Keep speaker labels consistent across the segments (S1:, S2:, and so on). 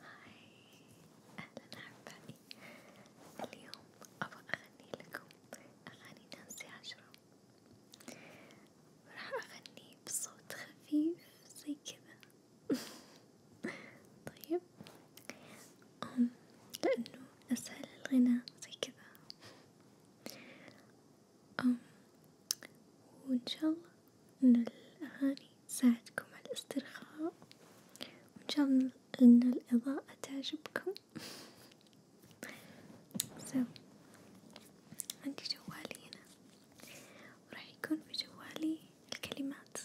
S1: هاي أهلا أحبائي اليوم أبغى أغني أغاني نانسي عجرم راح أغني بصوت خفيف زي كذا طيب أم لأنه أسهل الغناء زي كذا أم وإن شاء الله إن الأغاني تساعدكم على الاسترخاء وإن إن الإضاءة تعجبكم so, عندي جوالي هنا وراح يكون بجوالي الكلمات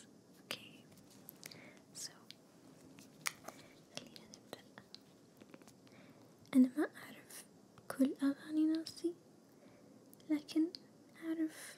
S1: اوكي سو خلينا نبدأ أنا ما أعرف كل أغاني ناسي لكن أعرف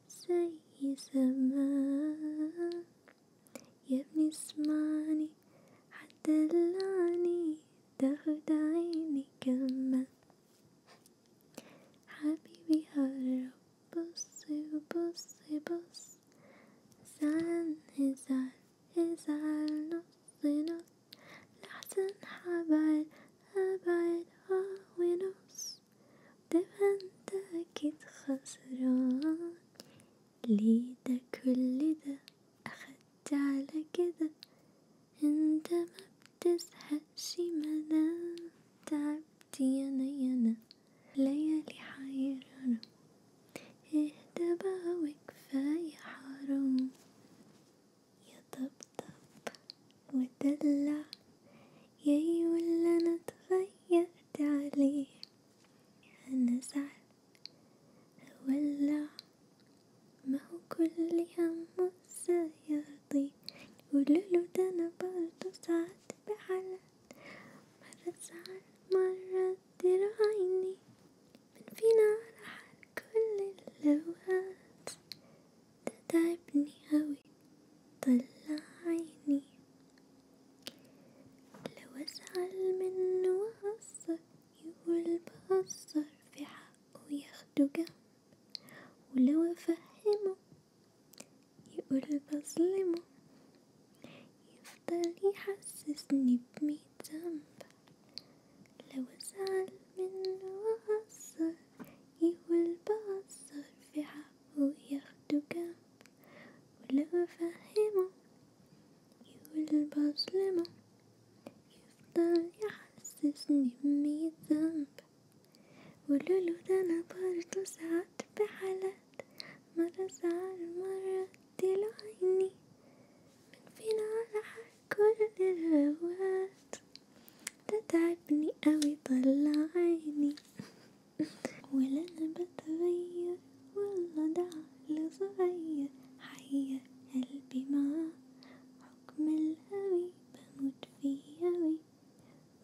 S1: زي زمان يا ابني اسمعني حتدلعني تاخد عيني كمان حبيبي هرب بص بص بص زعل ازعل ازعل نص نص لحسن حبعد أبعد اه ونص ده انت اكيد خسران ليه ده كل ده اخدت على كده انت ما بتزهقش ما دام تعبت يانا يانا ليالي حيرانة اهدى بقى وكفاية حرام يا طبطب ودلع ياي ولا أنا اتغيرت عليه أنا زعل ولا ما هو كل هم سيرضي يقولولو ده أنا برضه ساعات بحالات مرة زعل مرة ترعيني من فينا راح كل الأوقات تتعبني أوي طلع عيني لو أزعل منه وأقصر يقول بقصر في حقه ياخده جنب ولو أفهمه يقول بظلمه يفضل يحسسني بميت ذنب لو أزعل منه وأقصر يقول بقصر في حقه هو ياخدك ولا أفهمه يلبس لما يفضل يحسسني بمية ذنب قولوله ده أنا برضه ساعات بحالات مرة زعل مرة طلع عيني من فينا على حال كل الأوقات تتعبني أوي طلع عيني ولا أنا بتغير والله ده عقل صغير حيا قلبي معاه حكم الهوي بموت فيه أوي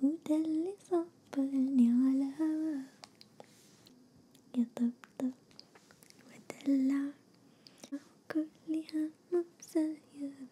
S1: وده اللي صبرني على هواه يطبطب ودلع كل همه بسير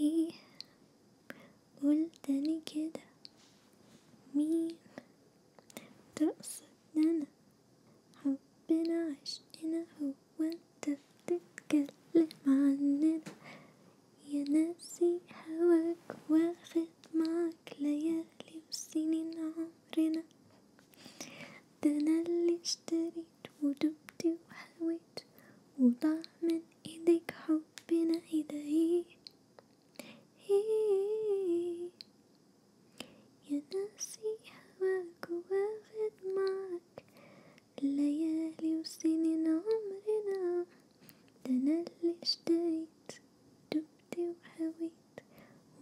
S1: ايه قلت لي كده مين تقصد حبنا عشقنا هو انت بتتكلم عننا يا ناسي هواك واخد معاك ليالي وسنين عمرنا ده انا اللي اشتريت ودمت وحلويت وضاع من ايديك حبنا ايدي يا ناسي هواك واخد معك الليالي وسنين عمرنا ده انا اللي اشتريت دمت وهويت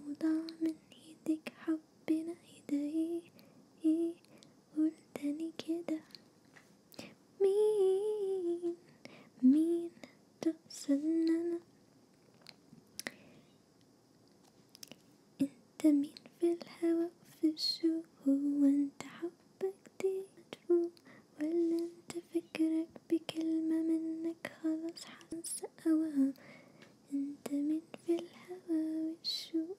S1: وضاع من ايديك حبنا ايدي قول تاني كده مين مين تقصد انا انت مين في الهوا في الشوق هو انت حبك دي مدفوع ولا انت فكرك بكلمة منك خلاص حنسى هواها انت مين في الهوا والشوق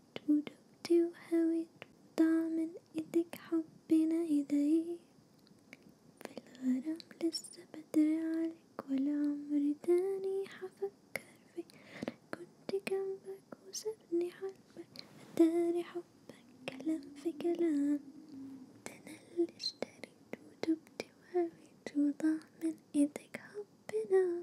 S1: إيد وذوبتي وهويت وطعم إيدك حبنا إيديك في الغرام لسه بدري عليك ولا عمري تاني حفكر فيك أنا كنت جنبك وسابني حلمك أداري حبك كلام في كلام ده أنا اللي اشتريت وذوبتي وهويت وطعم إيدك حبنا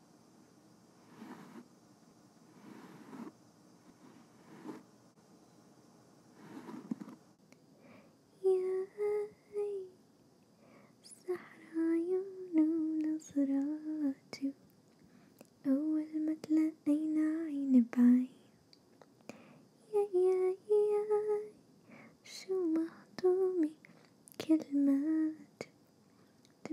S1: يا هاي الصحراء يوم نظراتي أول ما تلاقينا عين بعين يا يا يا شو مهضومة كلماتي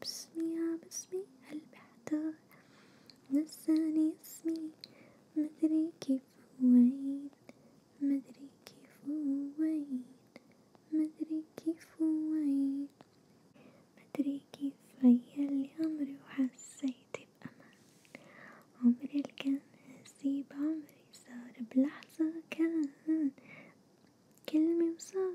S1: باسمي يا باسمي قلبي احتار نساني اسمي مدري كيف وين مدري كيف وين مدري كيف وين مدري كيف غير عمري وحسيت بأمان عمري اللي كان هسيب عمري صار بلحظة كان كلمة وصار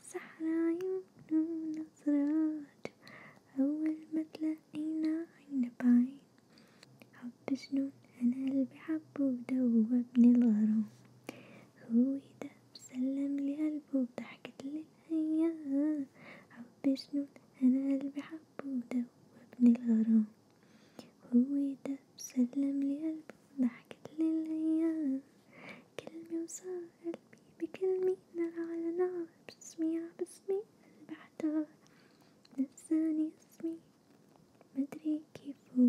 S1: صحرا يمنون أسراج أول ما تلاقينا عين بعين حب جنون أنا قلبي حبه دوب ابن الغرام هو ده سلم لي قلبه ضحكت للأيام حب جنون أنا قلبي حبه دوب ابن الغرام هو ده سلم لي قلبه ضحكت للأيام كلمة وصار قلبي بكلمي نار على نار باسمي باسمي قلبي احتار نساني اسمي مدري كيف هو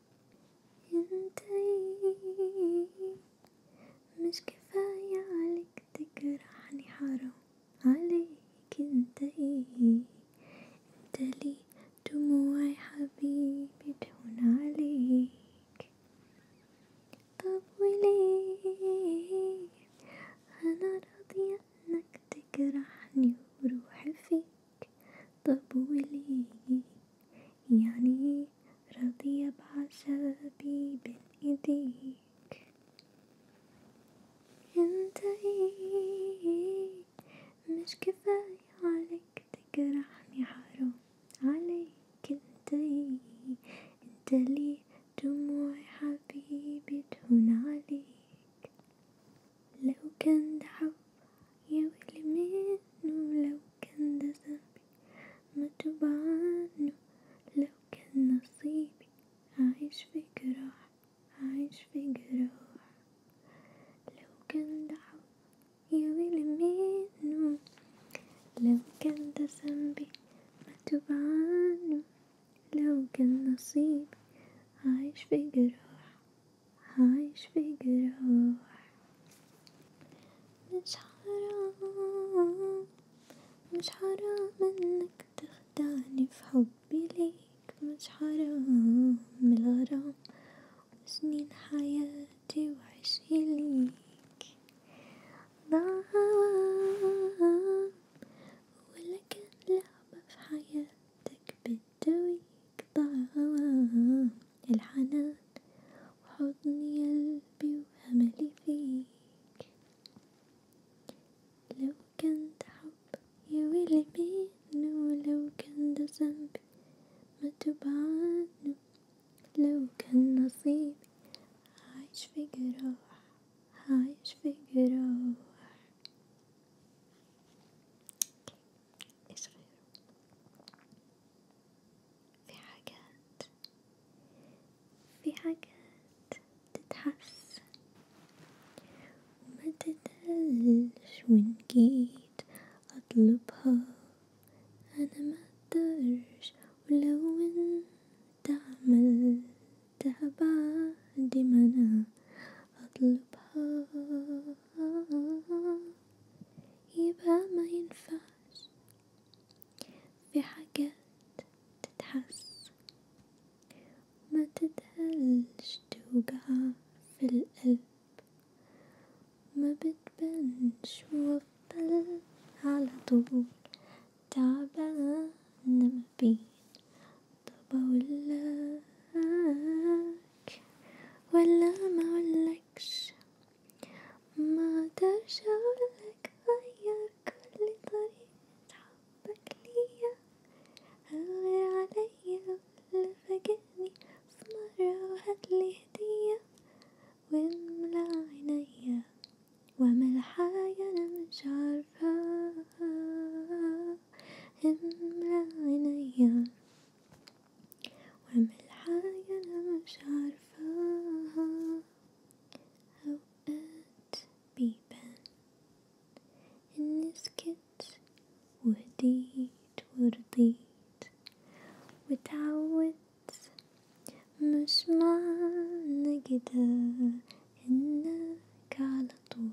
S1: ينتهي مش كفاية عليك تجرحني حرام عليك انتهي انت لي دموعي حبيبي تهون عليك طب وليه انا راضية انك تجرحني وروحي فيك طب ولي يعني رضي بعذابي بين ايديك انت ايه مش كفاية عليك تجرحني حرام عليك انت ايه انت ليه دموعي حبيبي تهون عليك لو كان ده حب يا ويلي منه لو كان ده ذنبي ما توب عنه لو كان نصيبي عايش في جراح عايش في جراح لو كان ده حب يا ويلي منه لو كان ده ذنبي ما توب عنه لو كان نصيبي عايش في جراح عايش في جروح مش حرام مش حرام انك تخدعني في حبي ليك مش حرام الغرام وسنين حياتي وعشقي ليك ضاع ولكن لعبة في حياتك بت دويك ضاع الحنان وحضن قلبي وأملي فيك لو كان ده حب يا ويلي منه لو كان ده ذنبي ما تب عنه لو كان نصيبي عايش في جراح عايش في جراح ايش غيره في حاجات في حاجات تتحس وما تتقلش وإن جيت أطلبها أنا ما أقدرش ولو انت عملتها بعد ما أنا أطلبها يبقى ما ينفعش في حاجات تتحس ما تتهلش توجع في القلب ما بتبانش وفضل على طول تعبان ما بين طب ولا ولا ما اقولكش ما اقدرش اقولك غير كل طريقة حبك ليا غير عليا ولا فاجئني في مرة وهاتلي هدية واملى عينيا واعمل حاجة انا مش عارفاها املى عينيا واعمل حاجة أنا مش عارفاها أوقات بيبان إني سكت وهديت ورضيت وتعودت مش معنى كده إنك على طول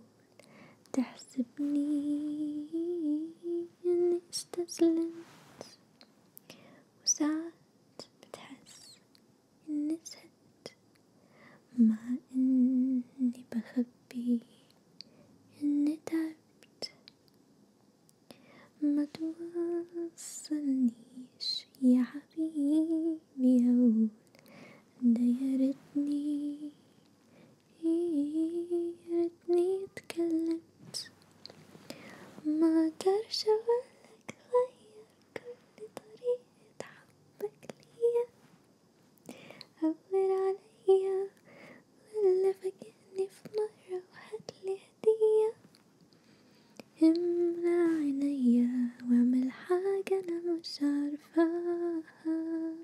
S1: تحسبني اني استسلمت وساعات بتحس اني سهت مع اني بخبي اني تعبت ما توصلنيش يا حبيبي اقول ده يا ريتني يا ريتني اتكلمت ما اقدرش اقولك غير كل طريقة حبك ليا عبر عليا ولا فاجئني في مرة وهاتلي هدية امنع عينيا واعمل حاجة انا مش عارفاها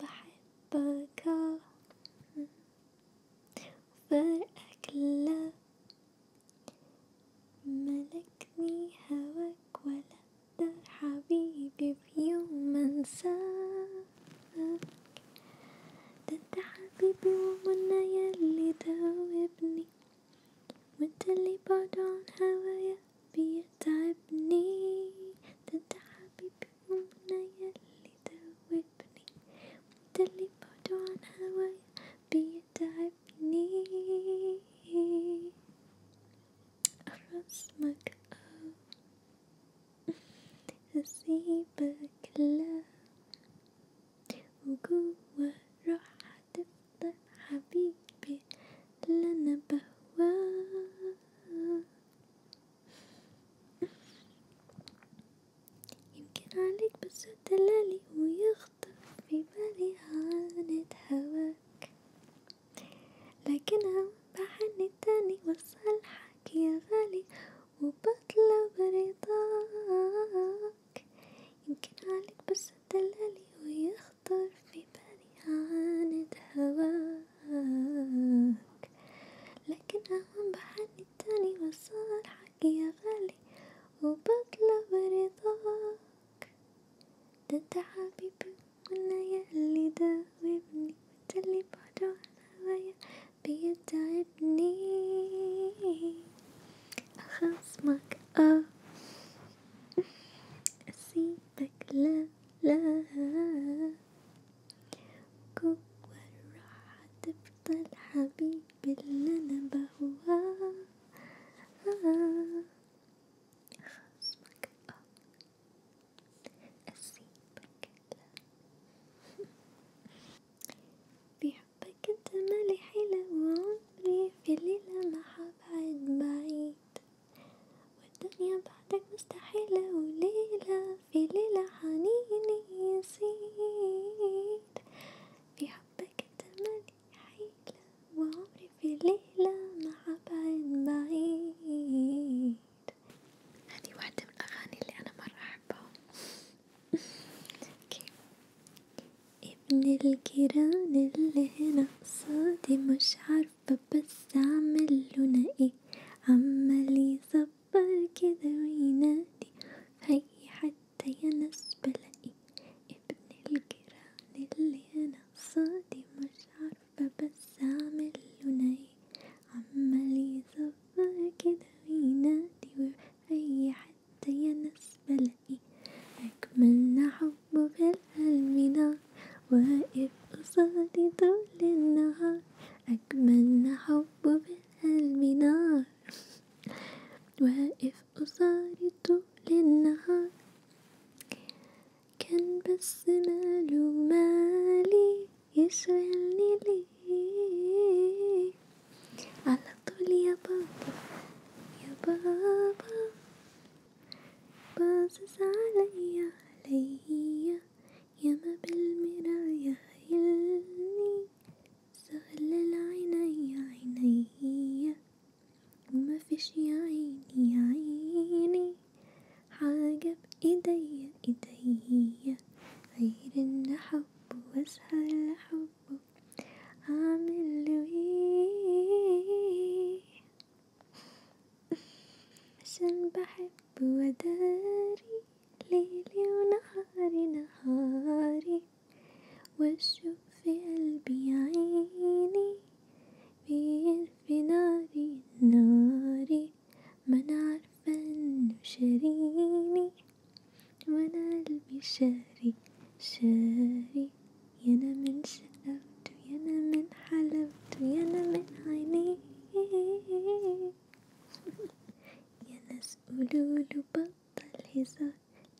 S1: بحبك وفرقك لا ملكني هواك ولا اقدر حبيبي بيوم يوم انساك ده انت حبيبي ومنا يلي دوبني وانت اللي بعد عن هوايا بيتعبني ده انت حبيبي المنى يلي ذوبني انت اللي بعد عن هواي بيتعبني رسمك أسيبك لا وجوا روح هتفضل حبيبي اللي أنا بهواه يمكن عليك بس دلالي ويخطر في بالي عانة هواك لكنها بحن تاني وصالحك يا غالي وبطلب رضاك يمكن عليك بس دلالي ويخطر في بالي عانة هواك معاك لكن أهم بحالي التاني وصالحك يا غالي وبطلب رضاك ده انت حبيبي والليالي داوبني وانت اللي بعده انا هوايا بيتعبني أخصمك اه أسيبك لا لا جوا الراحة تفضل حبيبي اللي أنا بهواه آه خصمك آه أسيبك لا بحبك أنت مالي حيلة وعمري في ليلة ما حبعد بعيد والدنيا بعدك مستحيلة وليلة في ليلة حنيني يزيد في حبك تملي حيلة وعمري في ليلة مع بعد بعيد هذه واحدة من الأغاني اللي أنا مرة أحبها ابن الجيران اللي هنا قصادي مش عارفة فبس اعمل لنا ايه عمال يصبر كده وينادي هي حتى يا ناس بلاقي ابن الجيران اللي انا قصادي مش عارفة بس اعمل لنا ايه عمال يصبر كده وينادي هي حتى يا ناس بلاقي أجملنا حب في القلب نار واقف قصادي طول النهار أجمل حب بالقلب نار واقف قصاري طول النهار كان بس ماله مالي يشغلني ليه على طول يا بابا يا بابا باصص عليا عليا يما بالمراية هيلني سهل عيني عيني ما فيش يا عيني يا عيني حاجة بإيديا إيديا غير إن أحبه وأسهل أحبه أعمل له إيه عشان بحب حب وداري ليلي ونهاري نهاري واشوف في قلبي عيني بيرفي ناري ناري ما انا عارفة انه شاريني وانا قلبي شاري شاري يانا من شقاوته يانا من حلاوته يانا من عينيه يا ناس قولولو بطل هزار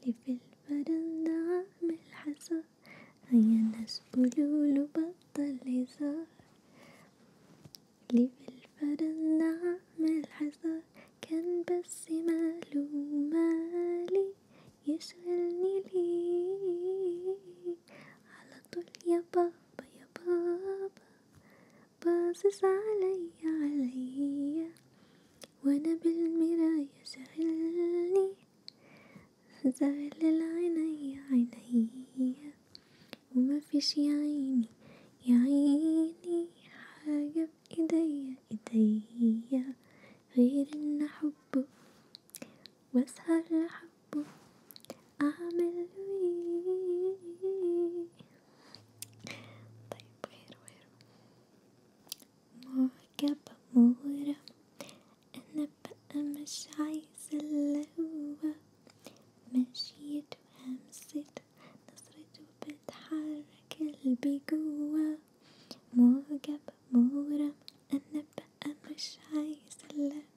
S1: لي في الفرندة عامل حصار يا ناس قولولو بطل هزار لي في الفرندة عامل حصار كان بس ماله مالي يشغلني ليه على طول يا بابا يا بابا باصص علي علي وانا بالمراية شاغلني زغل العيني عيني وما فيش يا عيني يا عيني حاجة بإيديا إيديا غير إن أحبه وأسهر لحبه حبه أعمل ويه طيب غيره غيره معجبة مغرمة أنا بقى مش عايزة اللي هو مشيته همسته نظرته بتحرك قلبي جوا معجبة مغرمة أنا بقى مش عايزة اللي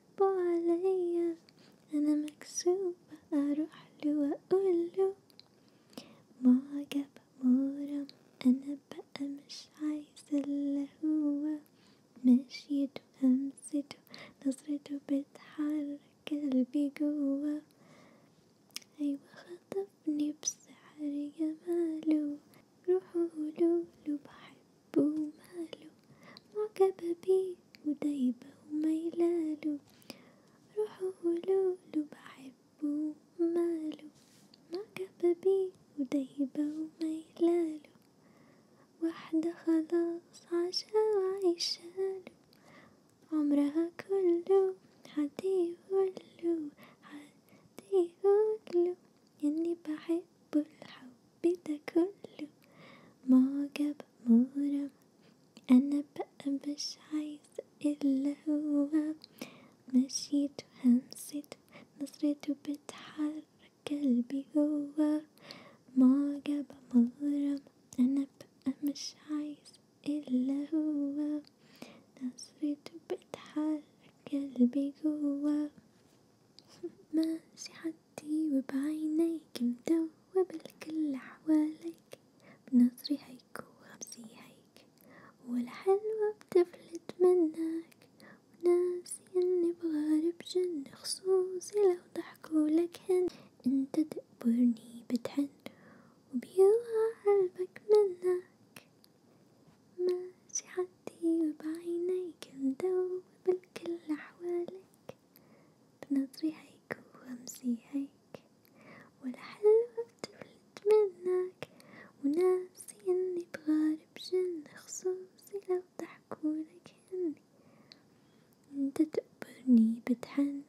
S1: قلبه عليا أنا مكسوفة أروح له وأقوله معجب مغرم أنا بقى مش عايزة اللي هو مشيته همسته نظرته بتحرك قلبي جوا أيوة خطفني بسحر جماله روحوا قولوله بحبه ماله معجبة بيه ودايبة وميلاله روحه لولو بحبه وماله معجبة بيه ودايبة وميلاله واحدة خلاص عاشا وعيشاله عمرها كله حد يقوله حد يقوله إني بحبه الحب بدا كله معجب مغرم أنا بقى مش عايز إلا هو مشيته همسته نظرته بتحرك قلبي هو معجب مغرم أنا بقى مش عايز إلا هو نظرته بتحرك قلبي جوا ماشي حد بخدي وبعينيك مدوب الكل حواليك بنظري هيك وغمزي هيك والحلوة بتفلت منك وناسي اني بغارب جن خصوصي لو ضحكولك هن انت تقبرني بتحن وبيوقع قلبك منك ماشي حدي وبعينيك مدوب الكل حواليك بنظري هيك وهمسي هيك ولا حلوة بتفلت منك وناسي اني بغارب جن خصوصي لو ضحكولك هن انت تقبرني بتحن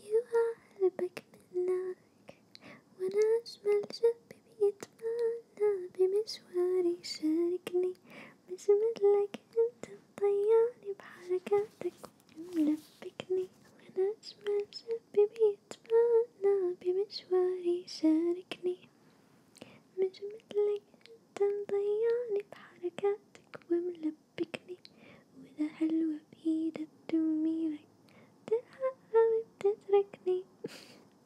S1: يوقع قلبك منك وانا اجمل جنبي بيتمنى بمشواري شاركني مش مثلك انت مطيعني بحركاتك ملبكني وانا اجمل شاب بيتمنى بمشواري شاركني مش مثلك انت مضيعني بحركاتك وملبكني وانا حلوة بايدك تميلك تلحقها وبتتركني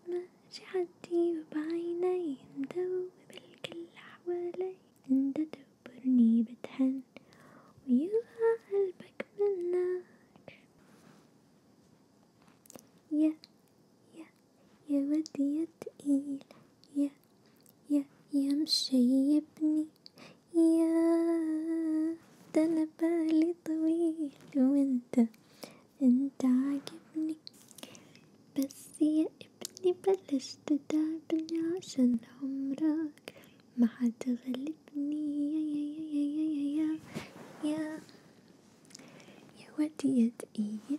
S1: ماشي حدي وبعيني مدوب الكل حوالي انت تبرني بتحن ويوقع قلبك منك يا يا يا ودي يا تقيل يا يا يا مشيبني يا ده انا بالي طويل وانت انت عاجبني بس يا ابني بلش تتعبني عشان عمرك ما حتغلبني يا يا يا يا يا يا يا يا وادي يا تقيل